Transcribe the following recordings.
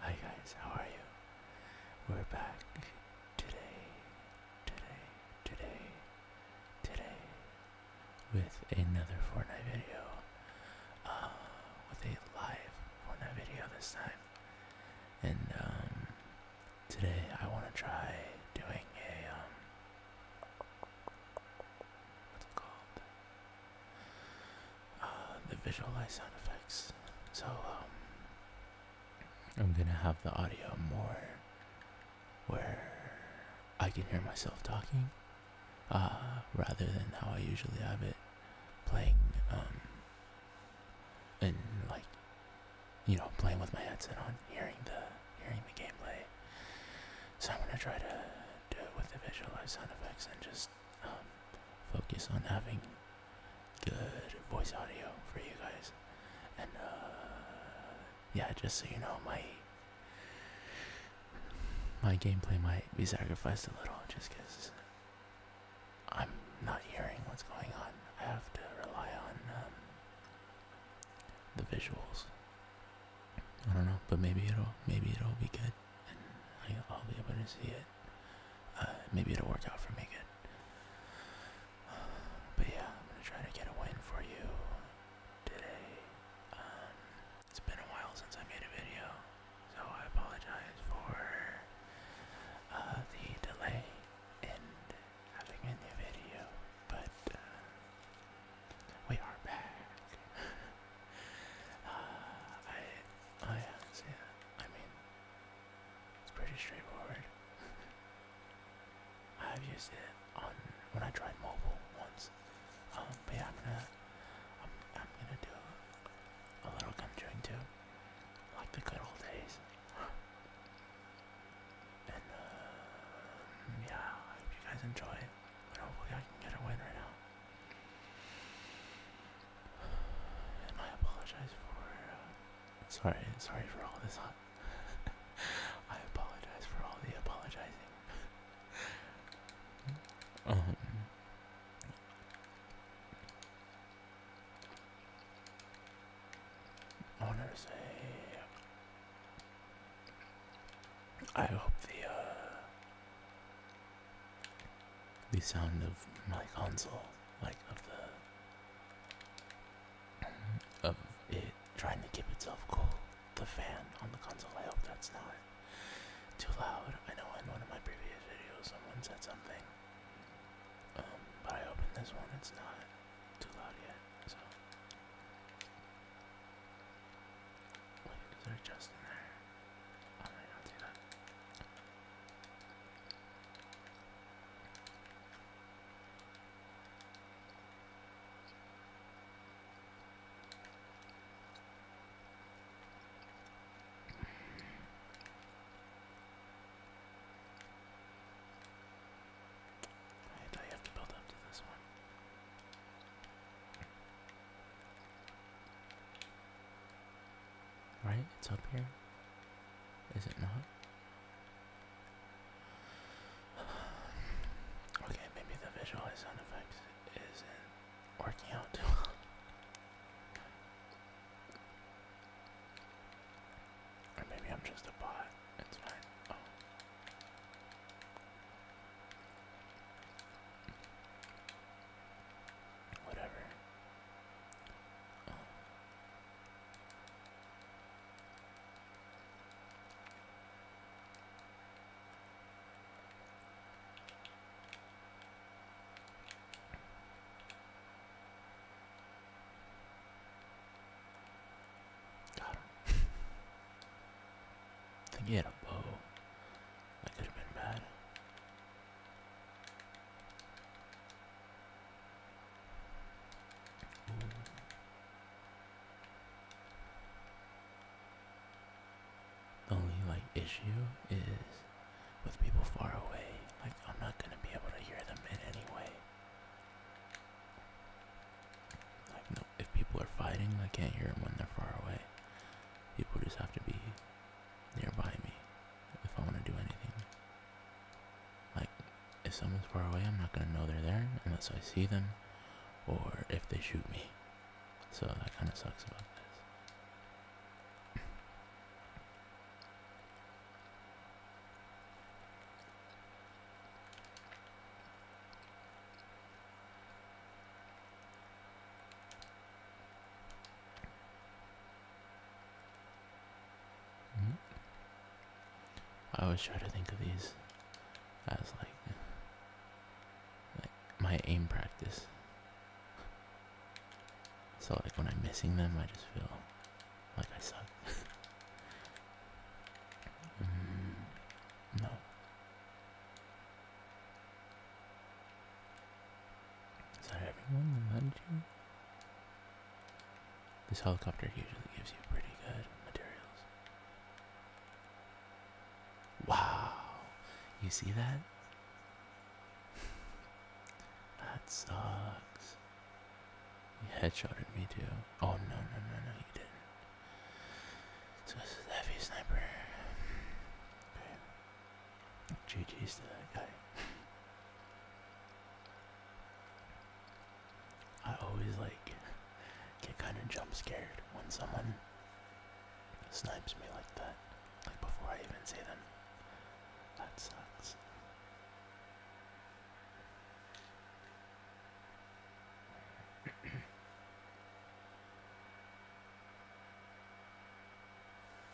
Hi guys, how are you? We're back today, today, today, today with another Fortnite video. Uh, with a live Fortnite video this time. And um, today I want to try doing a, um, what's it called? Uh, the visualized sound effects. So um, I'm gonna have the audio more where I can hear myself talking, uh, rather than how I usually have it playing and um, like you know playing with my headset on, hearing the hearing the gameplay. So I'm gonna try to do it with the visualized sound effects and just um, focus on having good voice audio for you guys. And uh, yeah, just so you know, my my gameplay might be sacrificed a little just because I'm not hearing what's going on. I have to rely on um, the visuals. I don't know, but maybe it'll maybe it'll be good. I'll be able to see it. Uh, maybe it'll work out for me good. But yeah, I'm gonna try to get a win for you today. Um, it's been a while since I made a video, so I apologize for uh, the delay in having a new video. But uh, we are back. uh, I, I, yeah, I mean, it's pretty straightforward. I have used it on when I tried mobile once. Um, but I'm gonna I'm gonna do a little gum chewing too, like the good old days. and uh, yeah, I hope you guys enjoy. But hopefully I can get a win right now. And I apologize for. Uh, sorry, sorry for all this. I apologize for all the apologizing. um. I I hope the. Uh, the sound of my console, like of the of it trying to keep itself cool. The fan on the console. I hope that's not too loud. I know in one of my previous videos someone said something, um, but I hope this one it's not too loud yet. So wait, is just in there? I might not do have to build up to this one. Right? It's up here. Is it not? Okay, maybe the visual sound effects isn't working out too well. Or maybe I'm just a bot. It's fine. Oh. Whatever. Got him. I think he had a bow. That could have been bad. The only like issue is with people far away. Like I'm not gonna be able to hear them in any way. Like no, if people are fighting, I can't hear them when they're far away. People just have to be nearby me if I want to do anything. Like, if someone's far away, I'm not gonna know they're there unless I see them or if they shoot me. So that kind of sucks about this. I always try to think of these as like, my aim practice. So like when I'm missing them, I just feel like I suck. Mm, no. Is that everyone behind you? This helicopter usually gives you pretty good materials. Wow! You see that? that sucks. You headshotted me too. Oh no no no no you didn't. So this is heavy sniper. GG's that guy. I always like get kind of jump scared when someone snipes me like that, like before I even see them. That sucks.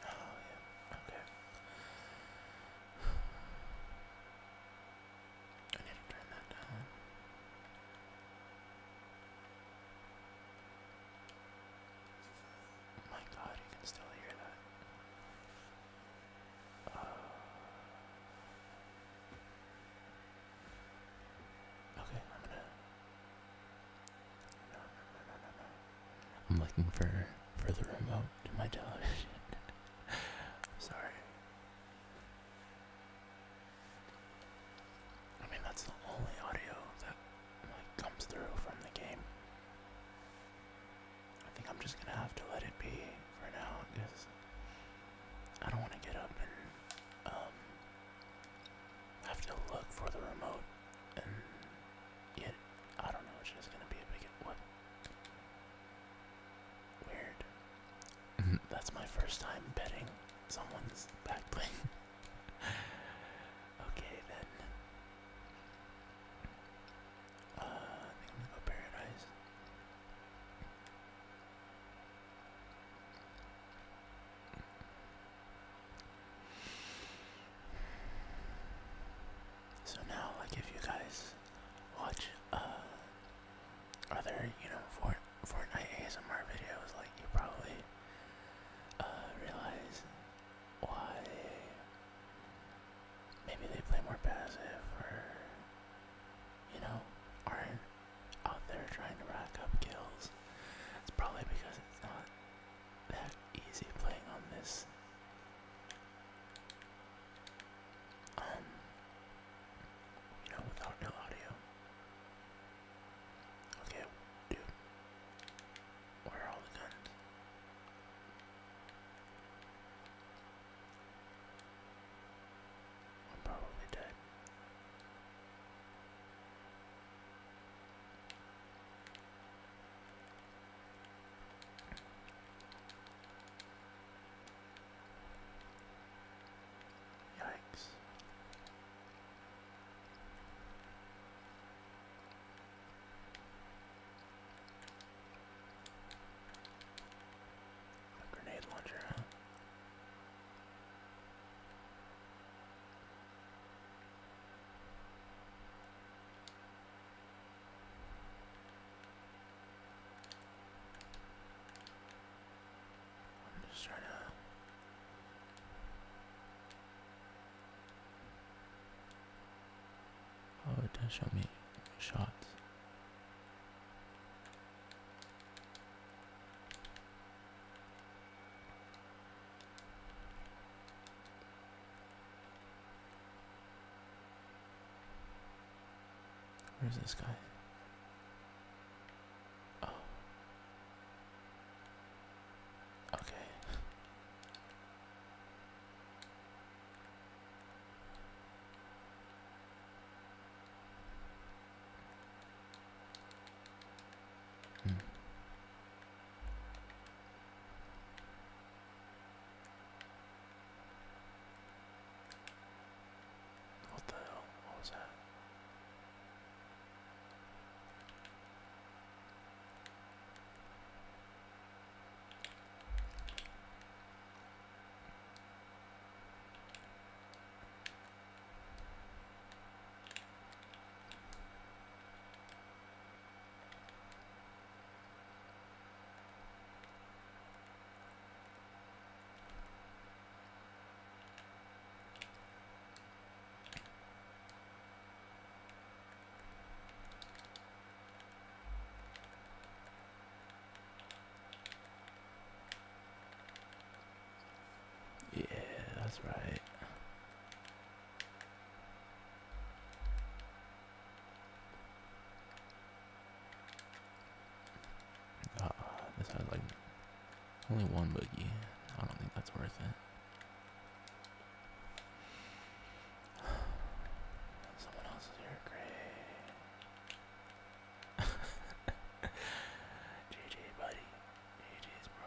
Oh, yeah. Okay. I need to turn that down. My god, you can still hear that. Uh, okay, no, no, no, no. I'm looking for for the remote to my television. Sorry. I mean that's the only audio that comes through from the game. I think I'm just gonna have to let it be for now because I don't want to get up and um, have to look for the remote and yet I don't know it's gonna be a big what Weird. That's my first time betting someone's back plane. okay, then. I think I'm gonna go Paradise. So now, like, if you guys watch uh, other, you know, Fort Fortnite ASMR videos, like, you probably uh, realize why maybe they play more passive or, you know, aren't out there trying to rack up kills. It's probably because it's not that easy playing on this um, you without no audio. Okay, dude, where are all the guns? I'm probably dead. Yikes. grenade launcher, I'm just trying to. Oh, it does show me shots. Where's this guy? Oh. Okay. Hmm. What the hell? What was that? Yeah, that's right. Uh, this has like only one boogie. I don't think that's worth it. Someone else is here. Great. GG, buddy. GG's, bro.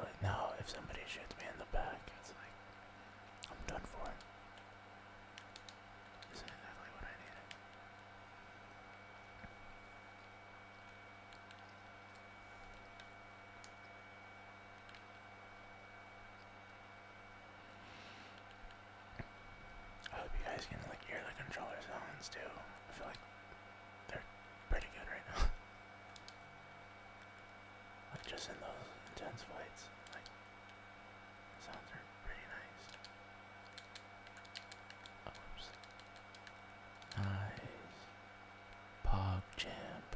like now, if somebody shoots me in the back, it's like I'm done for. This is exactly what I needed. I hope you guys can like hear the controller sounds too. I feel like they're pretty good right now. But just in those intense fights, like sounds are pretty nice. oops. Nice. Pog champ.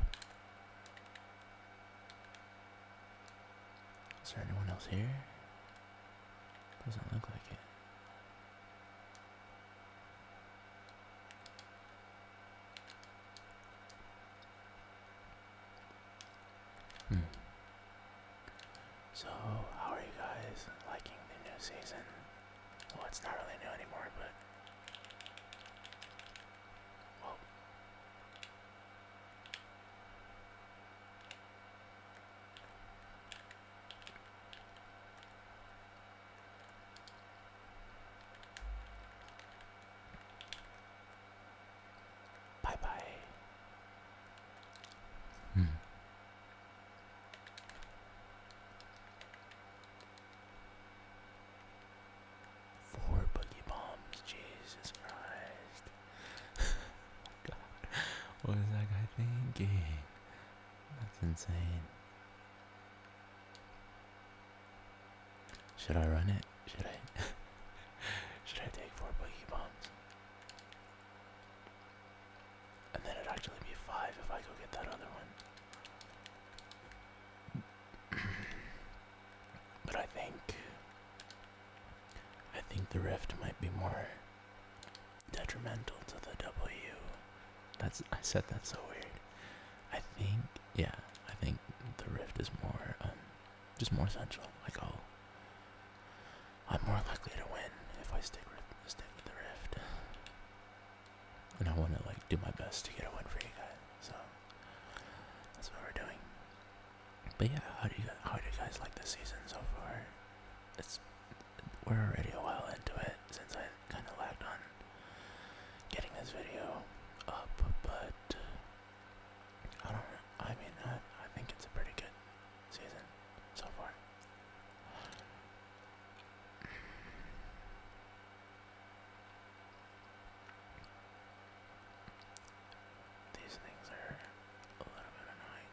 Is there anyone else here? Doesn't look like it. Hmm. So, how are you guys liking the new season? Well, it's not really new anymore, but. Well. Bye bye. Hmm. Four boogie bombs, Jesus Christ. oh that guy thinking? That's insane. Should I run it? Should I? Should I take four boogie bombs? And then it'd actually be five if I go get that other one. but I think. I think the rift might be more detrimental to the W. That's I said that so weird. I think yeah, I think the Rift is more, um, just more central. Like I'll, I'm more likely to win if I stick with stick with the Rift, and I want to like do my best to get a win for you guys. So that's what we're doing. But yeah, how do you how do you guys like the season so far? It's we're already a while into it since I kind of lagged on getting this video up, but uh, I don't know. I mean, I, I think it's a pretty good season so far. These things are a little bit annoying.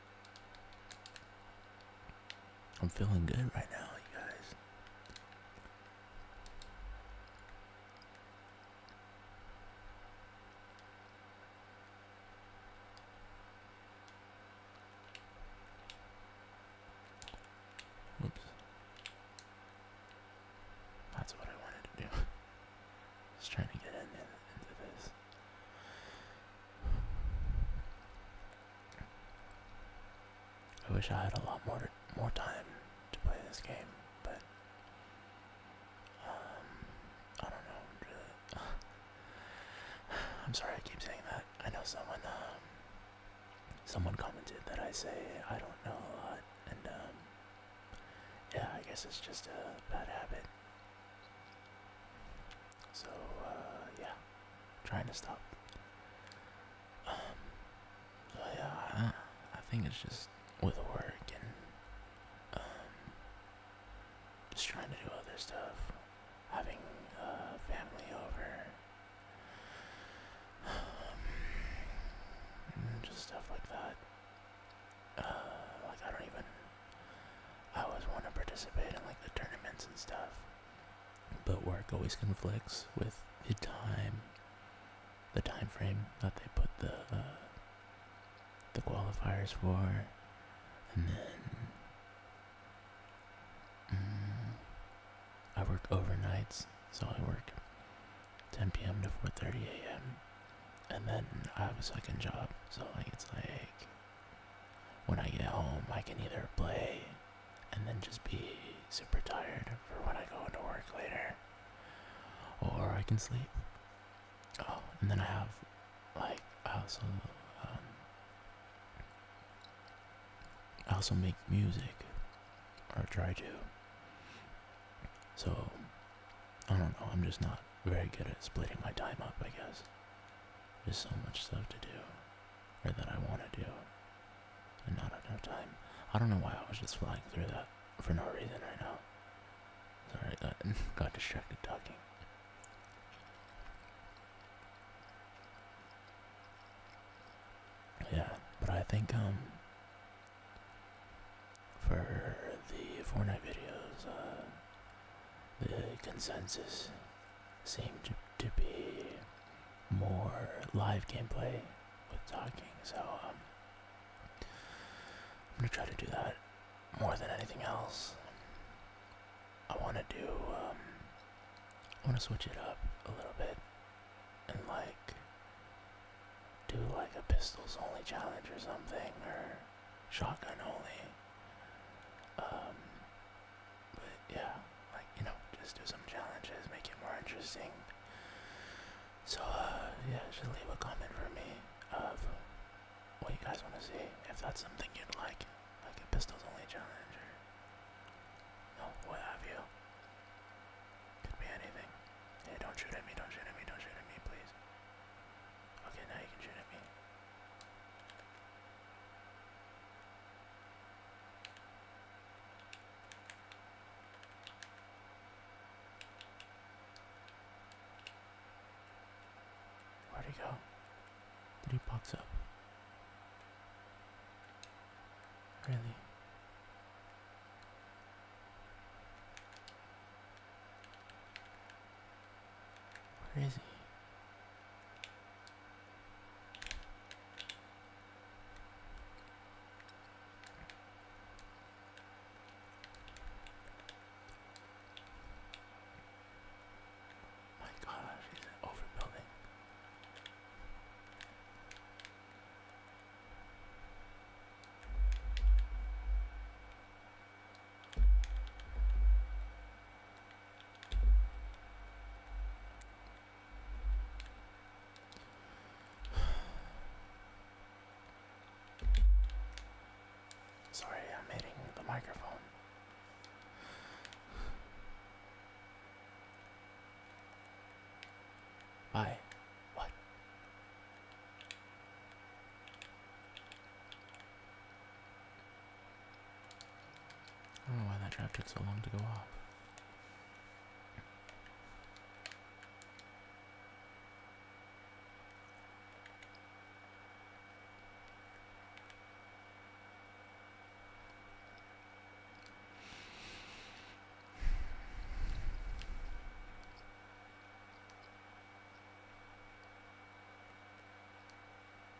I'm feeling good right now, you guys. Oops. That's what I wanted to do. Just trying to get into this. I wish I had a lot more more time to play this game, but um, I don't know. I'm sorry I keep saying that. I know someone um, someone commented that I say I don't know a lot, and um, yeah, I guess it's just a bad habit. So uh, yeah, trying to stop. Um, yeah, I, think it's just with work and um, just trying to do other stuff, having uh, family over, mm, just stuff like that. Uh, like I don't even I always want to participate in like the tournaments and stuff, but work always conflicts with the time, the time frame that they put the uh, the qualifiers for, and then mm, I work overnights, so I work 10 p.m. to 4:30 a.m. And then I have a second job, so like it's like when I get home, I can either play and then just be super tired for when I go into work later, or I can sleep. Oh, and then I have, like, I also, um, I also make music, or try to. So, I don't know, I'm just not very good at splitting my time up, I guess. There's so much stuff to do, or that I want to do, and not enough time. I don't know why I was just flying through that for no reason right now. Sorry, that got distracted talking. Yeah, but I think, um, for the four-night videos, uh, the consensus seem to, to be more live gameplay with talking, so um, I'm gonna try to do that more than anything else. I want to do, um, I want to switch it up a little bit and like do like a pistols only challenge or something or shotgun only. Um, but yeah, like you know, just do some challenges, make it more interesting. So uh, yeah, just leave a comment for me of what you guys want to see. If that's something you'd like, like a pistols only challenge, or no, what have you? Could be anything. Hey, don't shoot at me! Don't shoot at me! Don't shoot at me, please. Okay, now you can shoot at me. Where'd he go? Did he box up? Really? Where is he? My gosh, he's overbuilding. Sorry, I'm hitting the microphone. Bye. What? I don't know why that trap took so long to go off.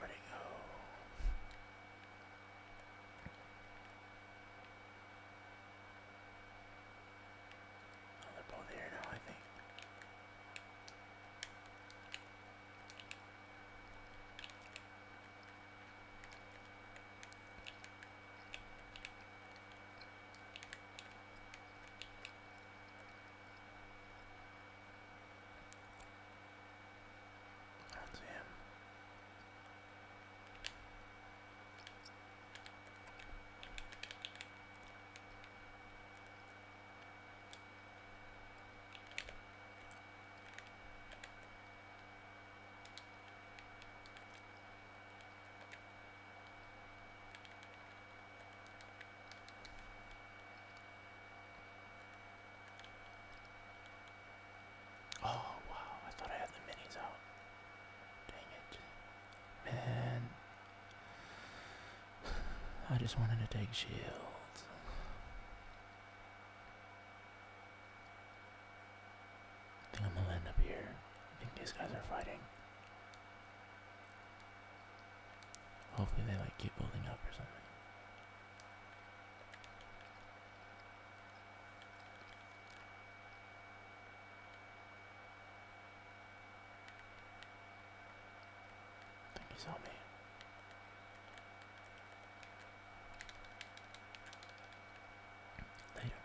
Ready to go? Oh, they're now, I think. That's him. Oh wow, I thought I had the minis out. Dang it. Man. I just wanted to take shields. I think I'm gonna end up here. I think these guys are fighting. Hopefully they like keep building up or something. I think he saw me. Later.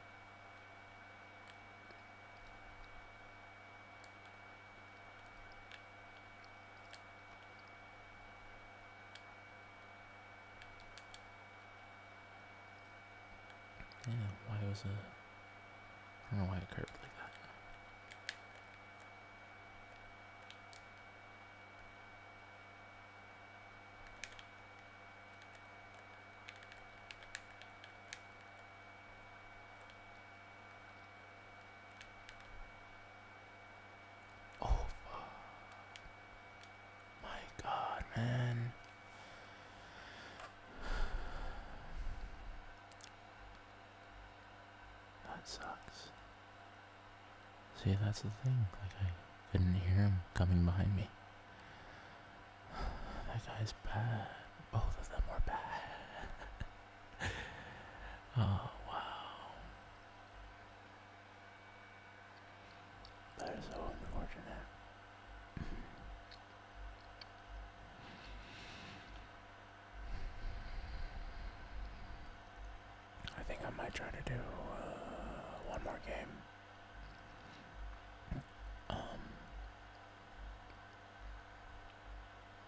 Yeah, why was it? I don't know why it curved like that. Oh, fuck. My God, man. That sucks. See, that's the thing. Like, I couldn't hear him coming behind me. That guy's bad. Both of them were bad. oh, wow. That is so unfortunate. I think I might try to do uh, one more game. Um,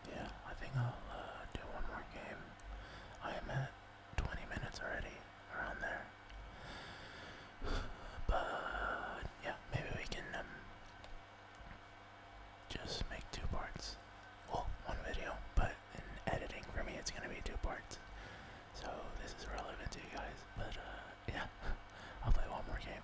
yeah, I think I'll uh, do one more game. I am at 20 minutes already, around there. But yeah, maybe we can um, just make two parts. Well, one video, but in editing for me, it's gonna be two parts. So this is relevant to you guys, but uh, yeah, I'll play one more game.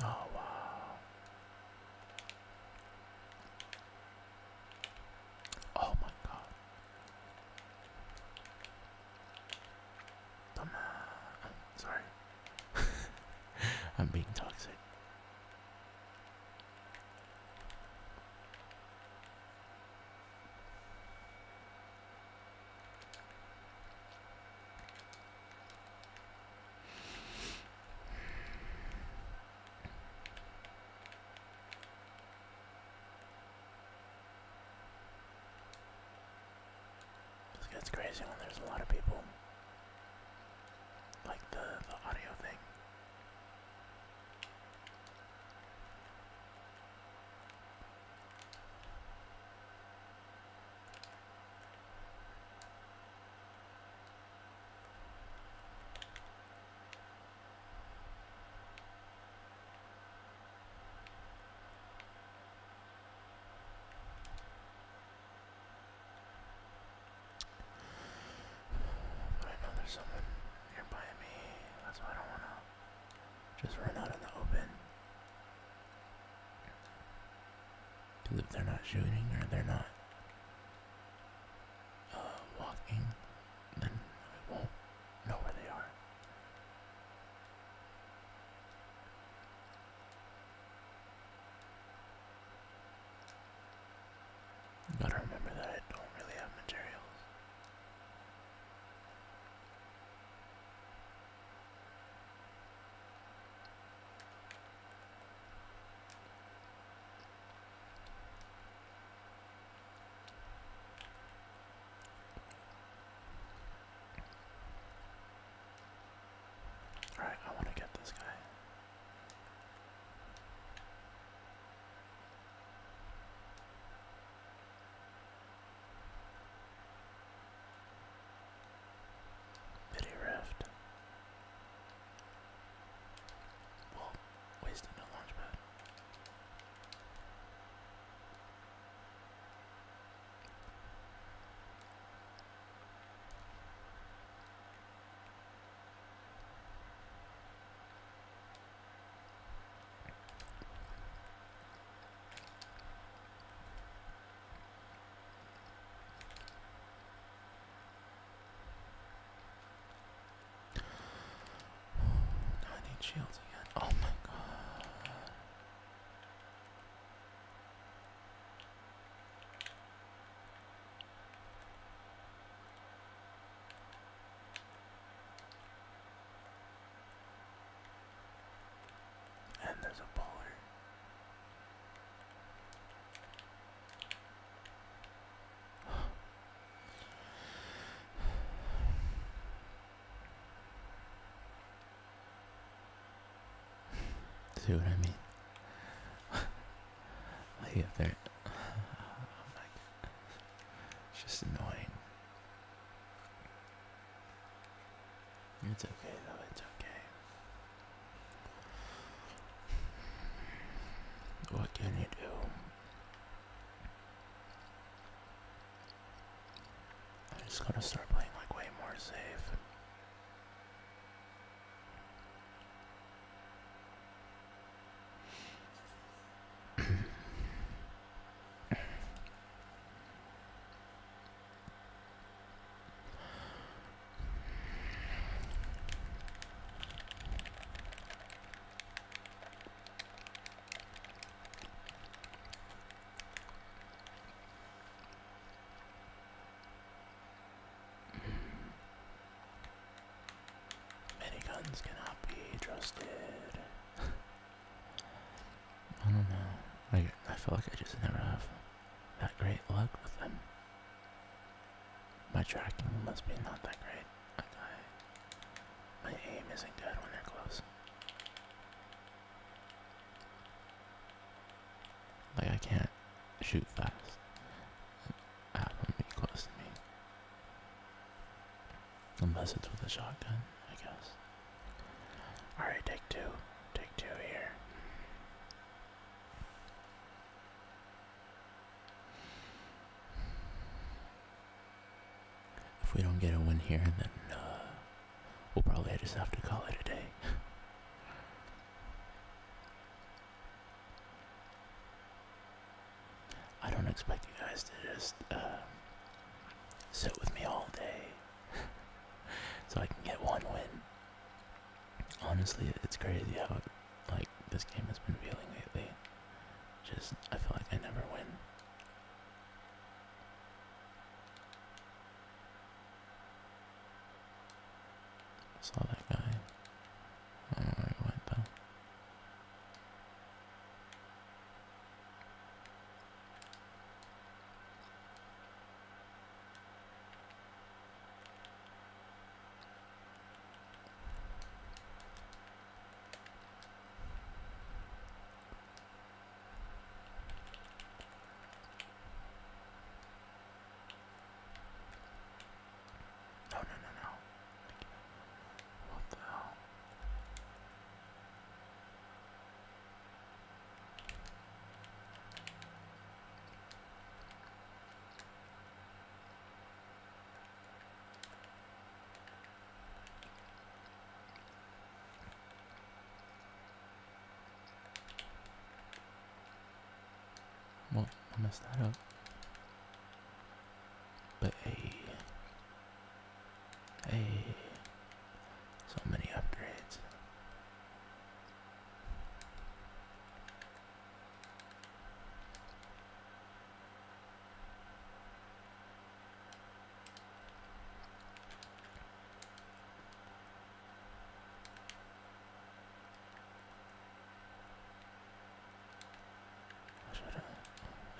Oh, wow. Oh, my God. Come Sorry. I'm being toxic. This gets crazy when there's a lot of people. Like the, the audio thing. But I know there's someone nearby me. That's why I don't want to just run out in the open. Because if they're not shooting or they're not uh, walking, then I won't know where they are. got remember that I don't really have materials. All right, I want to get this guy. Pity Rift. Well, wasted no launch pad. I need shields again. Oh my god. And there's a bowler. See what I mean? I there. it's just annoying. It's okay though, it's okay. What can you do? I'm just gonna start playing like way more safe. Many guns cannot be trusted. I don't know. I I feel like I just never have that great luck with them. My tracking must be not that great. my aim isn't good when they're close. Like I can't shoot fast. I have them be close to me. Unless it's with a shotgun, I guess. Alright, take two. Take two here. If we don't get a win here, then uh, we'll probably just have to call it a day. I don't expect you guys to just uh, sit with me all day so I can get one win honestly, it's crazy how like this game has been feeling lately. Just I feel like I never win. saw that guy. I don't no, oh, no, no, no. What the hell? Well, I messed that up. But hey, hey, so many upgrades.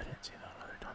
I didn't see that other time.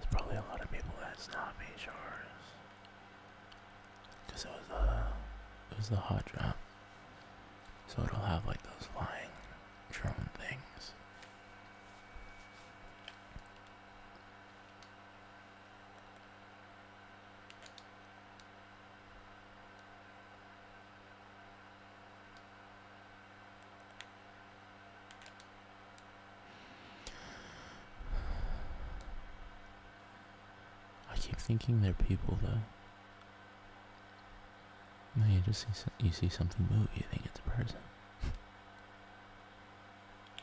There's probably a lot of people that's not made Cause it was a, it was the hot drop, so it'll have like those flying drone things. I keep thinking they're people though. you just see, you see something move, you think it's a person.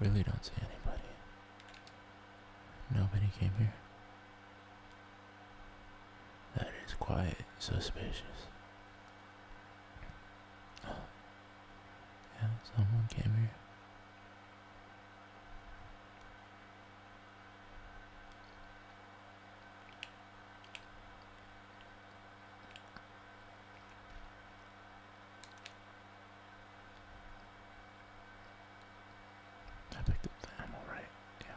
Really don't see anybody. Nobody came here. That is quite suspicious. Yeah, someone came here. I picked up Yeah.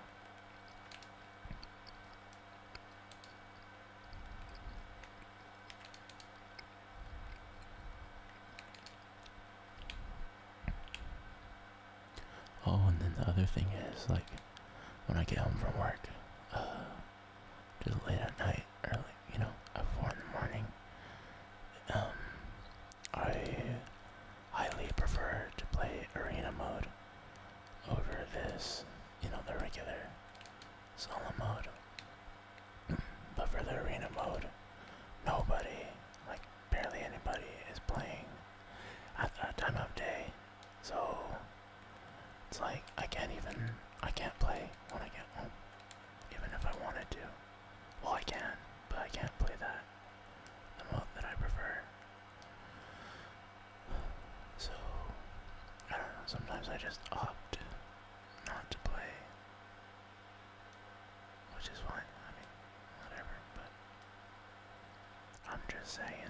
Oh, and then the other thing is, like, when I get home from work, uh, late at night, early, you know, at four in the morning. Um, I highly prefer to play arena mode over this, you know, the regular solo mode. but for the arena mode, nobody, like barely anybody, is playing at that time of day. So it's like I can't even I can't play when I get home. Even if I wanted to. Well I can, but I can't play that. The mode that I prefer. So I don't know, sometimes I just opt not to play. Which is fine, I mean, whatever, but I'm just saying.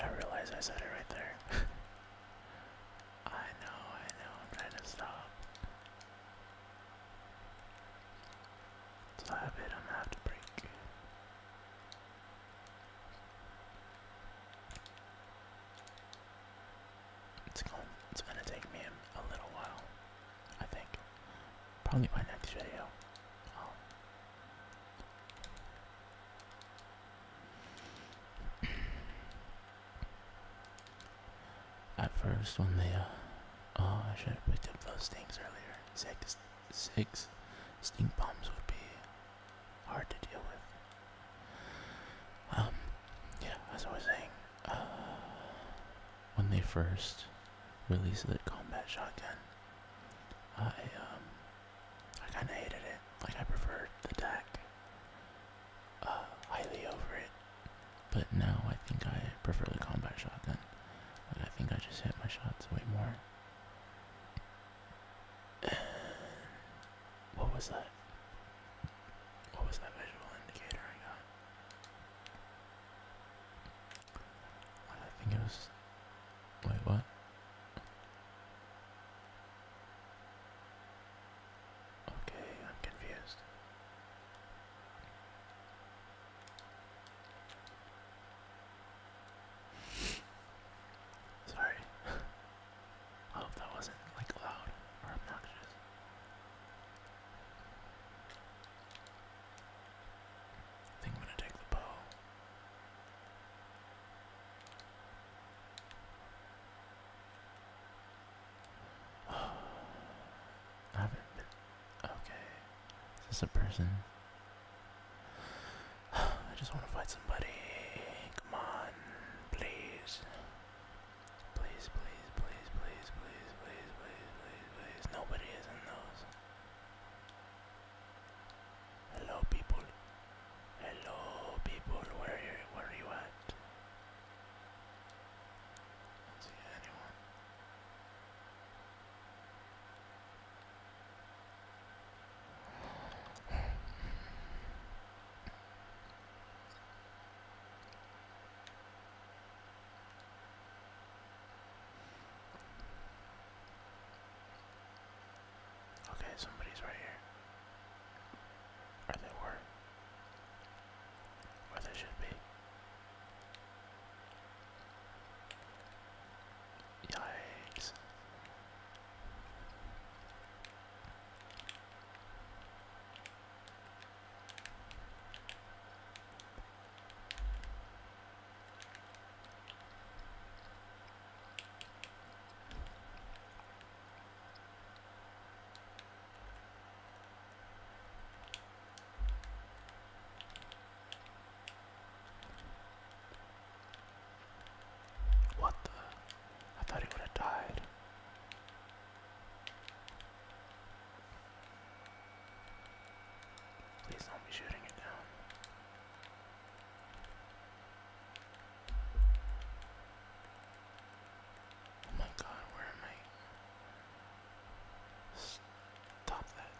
I realize I said it right there. I know, I know, I'm trying to stop. Stop I'm gonna have to break. It's going it's gonna take me a, little while, I think. Probably my next video. I'll oh. At first, when they, uh, oh, I should have picked up those things earlier. Six, six stink bombs would be hard to deal with. Um, yeah, as I was saying, uh, when they first released the combat shotgun, I, um, I kinda hated it. Like I preferred the deck uh, highly over it. But now I think I prefer the combat shotgun. Like I think I just hit my shots way more. what was that? What was that visual indicator I got? I think it was. Wait, what? Okay, I'm confused. Sorry. I hope that wasn't like loud or obnoxious. I think I'm gonna take the bow. I haven't been. Okay. Is this a person? I just want to fight somebody. Come on. Please. Please, please, please, please, please, please, please, Nobody is in those. Hello people. Hello people. Where are you, where are you at? Okay, somebody's right here. Or they were. Or they should be. Yikes. What the? I thought he would have died. Please don't be shooting it down. Oh my god, where am I? Stop that.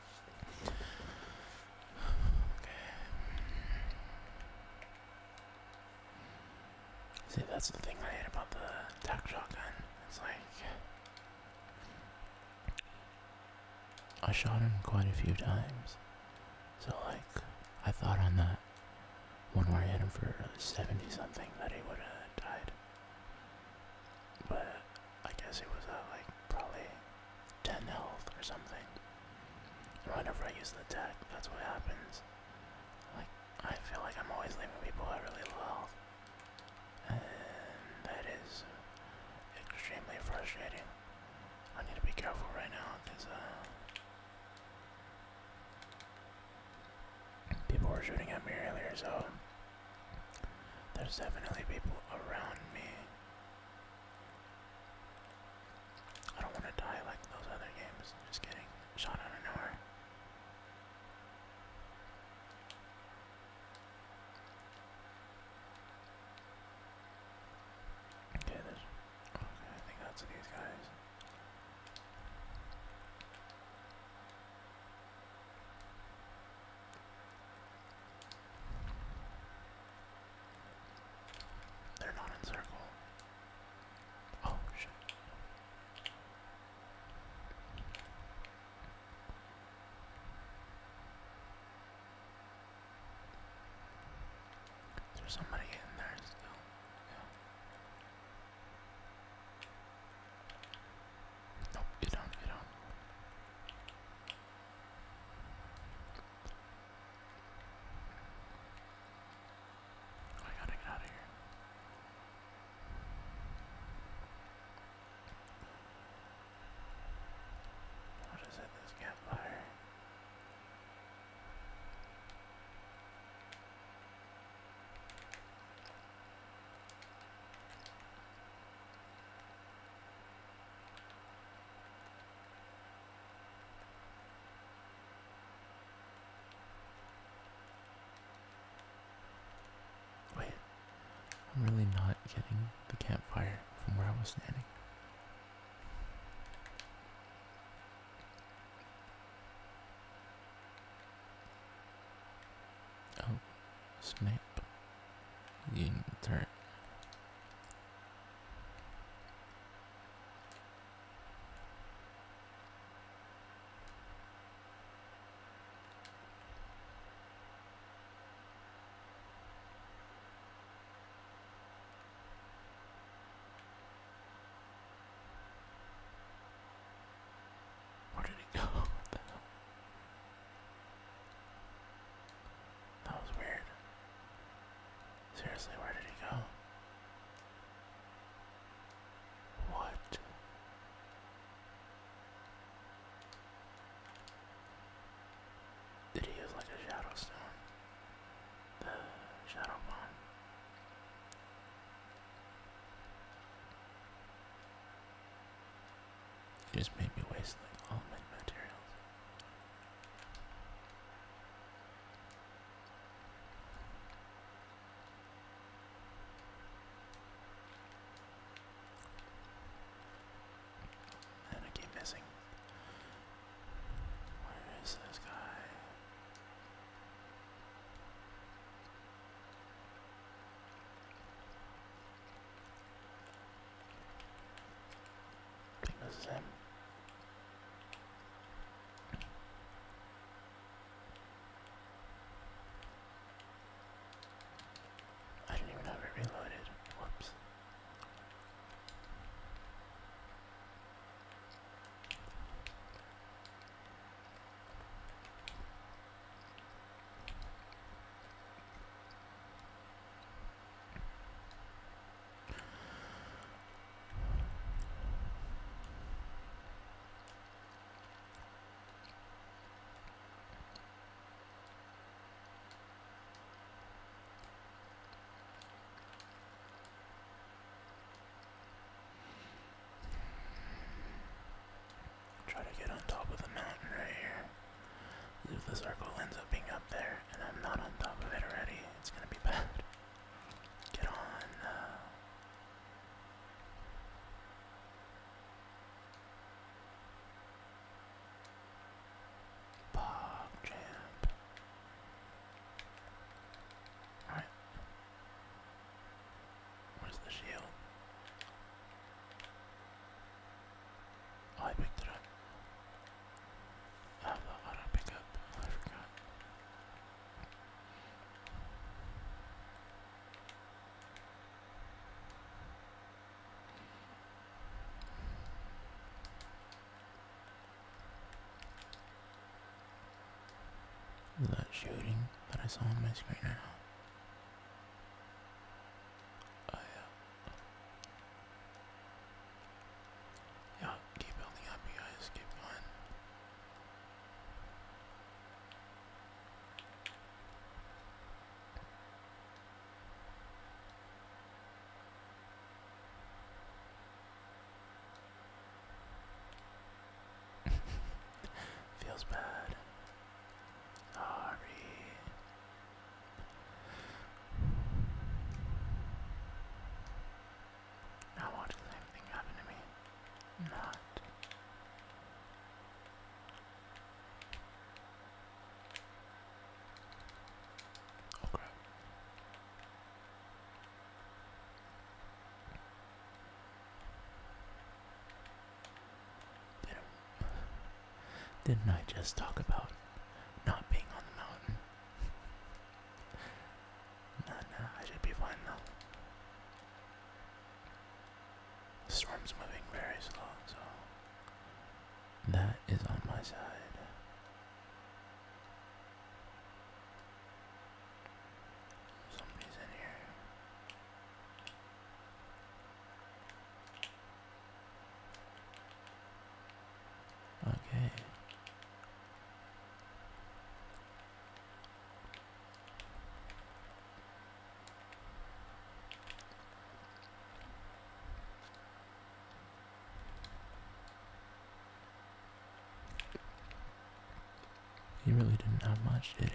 See, that's the thing I hate about the tac shotgun. It's like I shot him quite a few times. So like I thought on that one where I hit him for 70 something that he would have died. But I guess it was a uh, like probably 10 health or something. whenever I use the attack, that's what happens. Like, I feel like I'm always leaving people at really low health. And that is extremely frustrating. I need to be careful right now because uh, people were shooting at me earlier, so there's definitely people around me I don't want to die like those other games. Just kidding. Shot out of nowhere. Okay, there's. Okay, I think that's these guys. They're not in circle. Oh shit. There's somebody in there still. Yeah. Nope, you don't, you Oh, I gotta get out of here. I'll just hit this campfire. Wait, I'm really not getting the campfire from where I was standing. Oh, snap. You dirt. Where did he go? That was weird. Seriously, where did he go? What? Did he use like a shadow stone? The shadow bomb. He just made me waste like all my materials. And I keep missing. Where is this guy? this is him. I didn't even have it reloaded. Whoops. Try to get on top of the mountain right here. If the circle ends up being up there and I'm not on top of it already, it's gonna be bad. Get on. Bob uh, Champ. Alright. Where's the shield? Oh, I picked it up. Oh, I have that auto pickup. I forgot. That shooting that I saw on my screen now. Oh yeah, keep building up, you guys. Keep going. Feels bad. Sorry. I watched the same thing happen to me. Not. Oh crap. didn't I just talk about not being on the mountain? No, no, I should be fine though. The storm's moving very slow, so that is on my side. Somebody's in here. Okay. He really didn't have much, did he?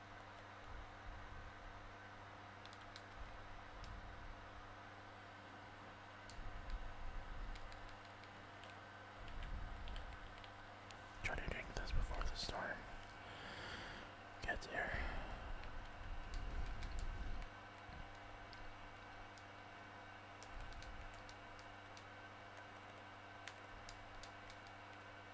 Try to drink this before the storm gets here.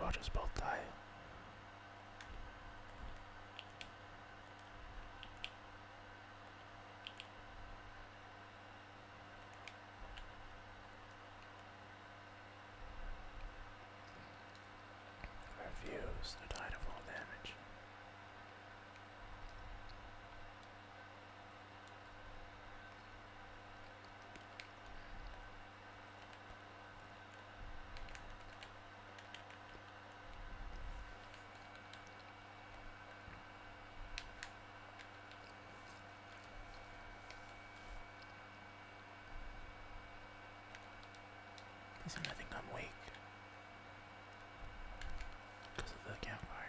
I'll just both die. Refuse to die to full damage. Please do think I'm weak because of the campfire.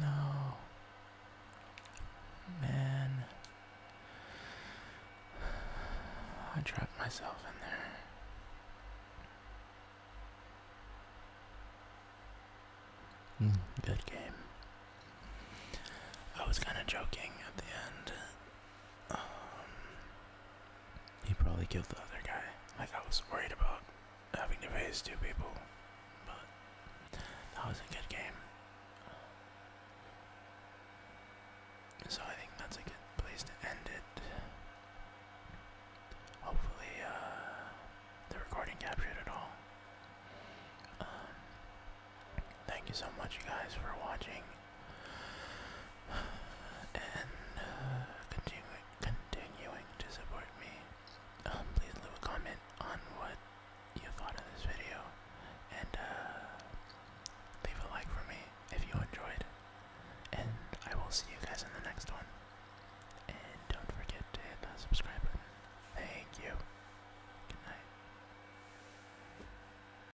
No. Man. I dropped myself in there. Hmm. good game. I was kind of joking at the end um, he probably killed the other guy. Like I was worried about having to face two people, but that was a good game. So I think that's a good place to end it. Hopefully, uh, the recording captured it all. Um, thank you so much, guys, for watching and uh, continuing continuing to support me. Um, please leave a comment on what you thought of this video, and uh, leave a like for me if you enjoyed. And I will see you guys in the next one. And don't forget to hit the subscribe button. Thank you. Good night.